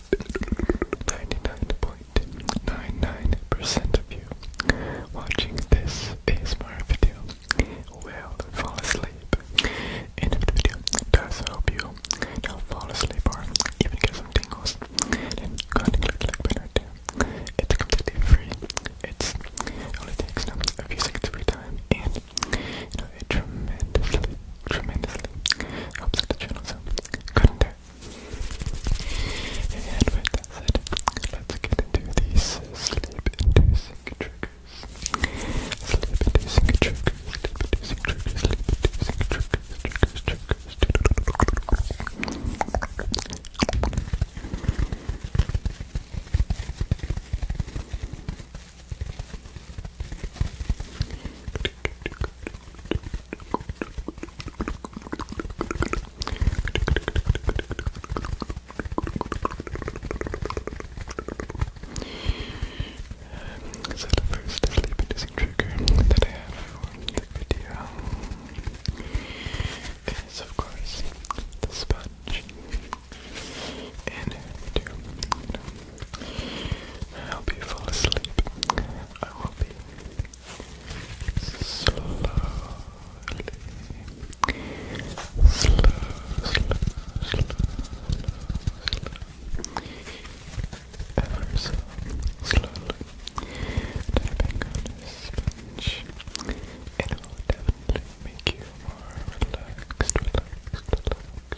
99.99% of you watching this ASMR video will fall asleep. End of the video does help you do fall asleep or even get some tingles. Then go and click the like button It's completely free. It's only takes a few seconds every time and it tremendously tremendously helps the channel so couldn't do it. And with that said, let's get into these sleep-inducing triggers. Sleep-inducing triggers, sleep-inducing triggers, sleep-inducing triggers, triggers, triggers. Triggers, so the first sleep-inducing trigger that I have for the video is, of course, the sponge. you I hope you fall asleep. I will be slowly, slow, slow, ever so slowly tapping this sponge. It will definitely make you more relaxed, relaxed, relaxed.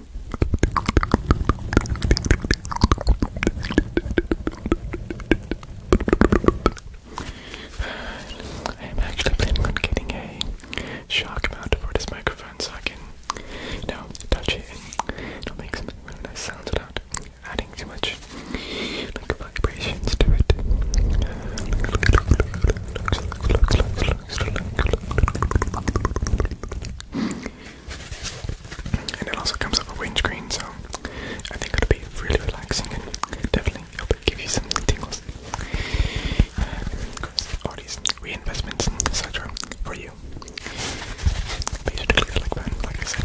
I am actually planning on getting a shock mount for this microphone so I can, you touch it and make some really nice sounds without adding too much like vibrations to it. And it also comes with a windscreen, so I think it'll be really relaxing and definitely help give you some tingles. Of course, all these reinvestments, etc., for you. Be sure to like button, like I said.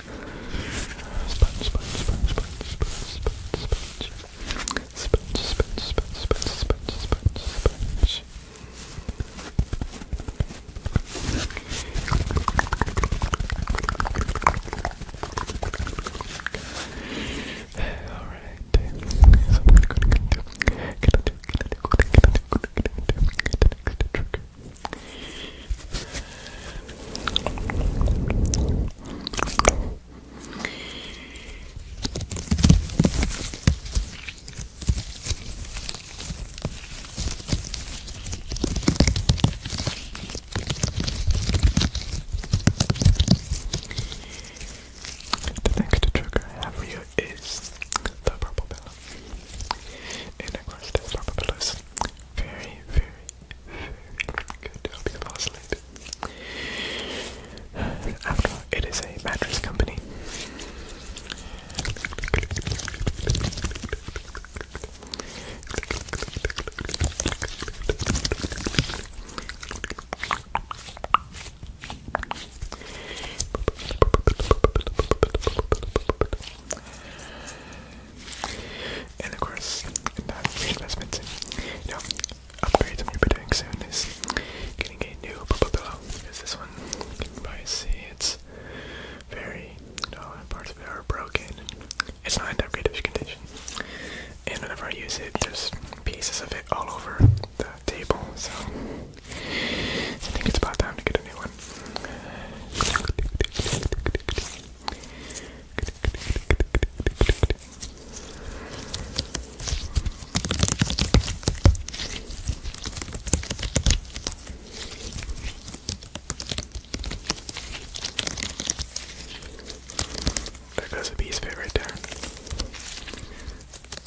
Sponge, sponge, sponge, sponge, sponge, sponge, sponge. Sponge, sponge, sponge, sponge, sponge, sponge, sponge. Alright, so I'm gonna go to get into get into get into get into get into get into get into trigger the next trigger I have for you is the purple bell. And of course, there's Papa Very, very, very good to After it is a mattress company. And of course, that's reinvestment. Now, upgrades I'm going to be doing soon is getting a new pillow. Because this one, you can see, it's very, you parts of it are broken. It's not in that great condition. And whenever I use it, there's pieces of it all over the table. So I think it's about time to get a new one. There goes a bee's right there.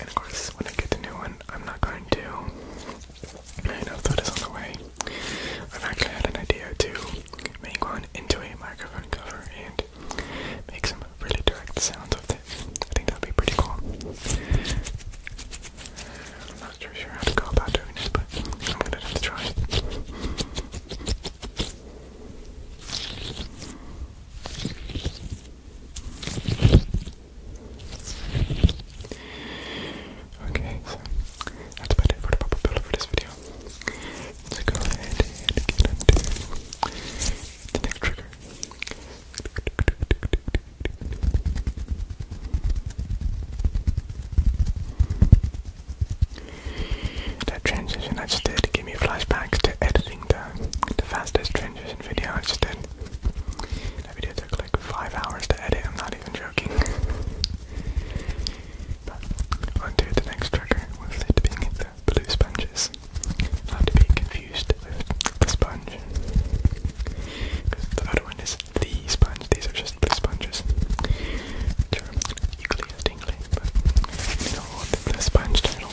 And of course, when I get the new one, I'm not going to. I know that is on the way. I've actually had an idea to make one into a microphone cover and make some really direct sounds with it. I think that'd be pretty cool. I'm not sure sure how to go about doing this, but I'm gonna have to try. Okay, so that's about it for the bubble builder for this video. So go ahead and get into the next trigger. That transition I just did gave me flashbacks to editing the the fastest changes in video I just did. That video took like five hours to edit, I'm not even joking. but on the next trigger with it being the blue sponges. Not to be confused with the sponge. the other one is the sponge, these are just blue sponges. Which are equally the sponge title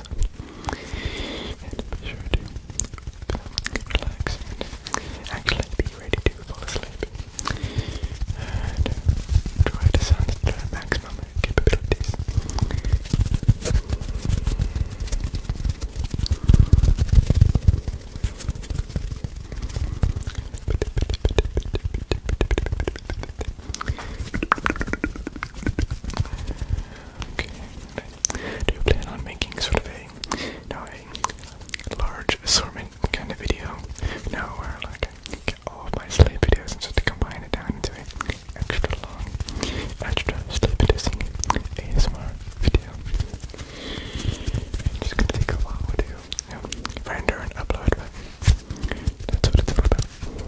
relax. And be sure to relax and actually be ready to fall asleep. Uh, try to sound to their maximum capabilities. Do you plan on making sort of a, large assortment kind of video? No, where like I get all of my sleep videos and just to combine it down into an extra long, extra sleep-inducing ASMR video. It's just gonna take a while to render and upload, but that's what it's all about.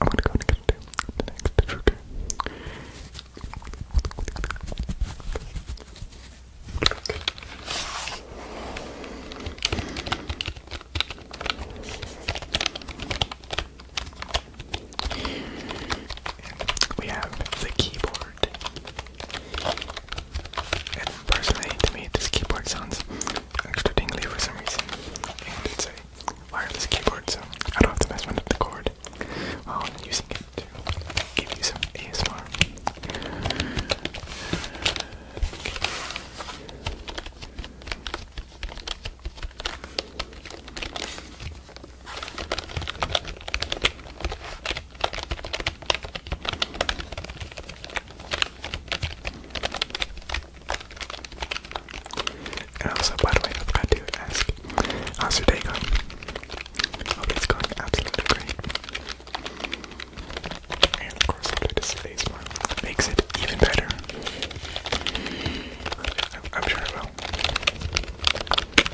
I'm gonna go and get into the next trigger. We have the keyboard. And personally, to me, this keyboard sounds extra dingly for some reason. And it's a wireless keyboard, so I don't have to mess with the cord while I'm using it to give you some ASMR. And um, also, by the way, I forgot to ask, how's your day going? Hope it's going absolutely great. And of course, I'll today's one. Makes it even better. I'm sure it will.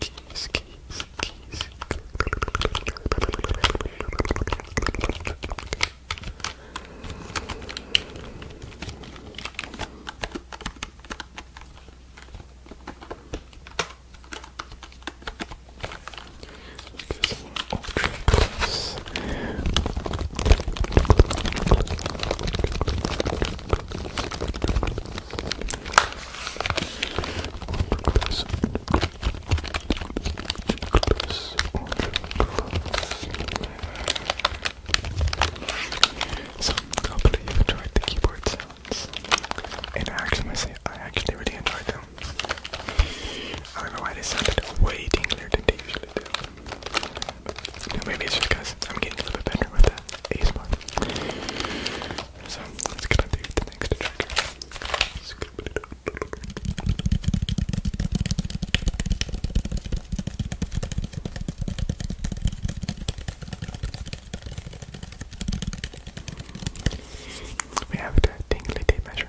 Kiss, kiss, kiss. Ultra class. So hopefully you enjoyed the keyboard sounds. And I actually say I actually really enjoyed them. I don't know why they sounded way dinglier than they usually do. No, maybe it's just because I'm getting a little bit better with that ASMR. So let's get on the next trigger. We have the tingly tape measure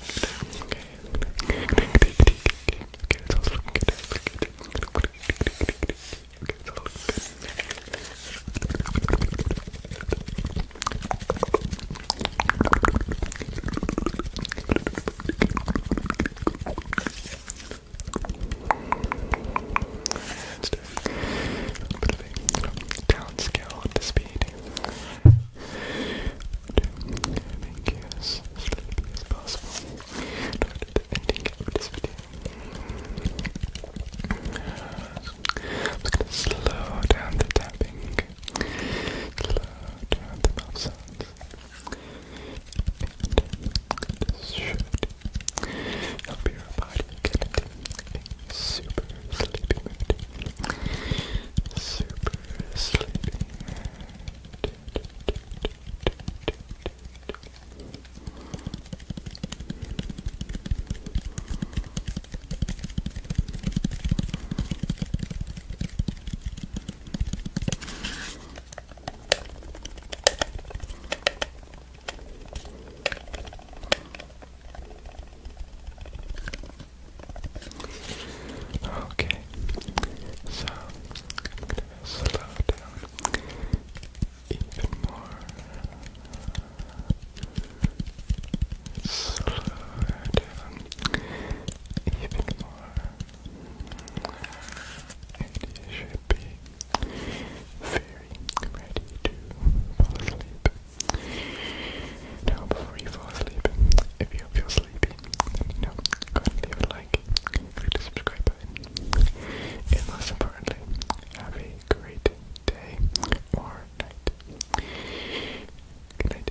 Okay. Okay, it's all looking good. It's looking good. Okay, it's all looking good. Let's do a bit of a down scale to speed to as sleepy as possible I'm gonna slow down the tapping, slow down the mouth sounds, and this should help your body get Super sleepy Super sleepy Okay, so slow down even more. Slow down even more. And you should be very ready to fall asleep now, before you fall asleep, if you feel sleepy, then you leave a like, click the subscribe button, and most importantly, have a great day or night. Good night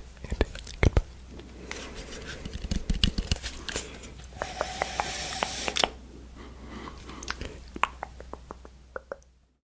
and goodbye.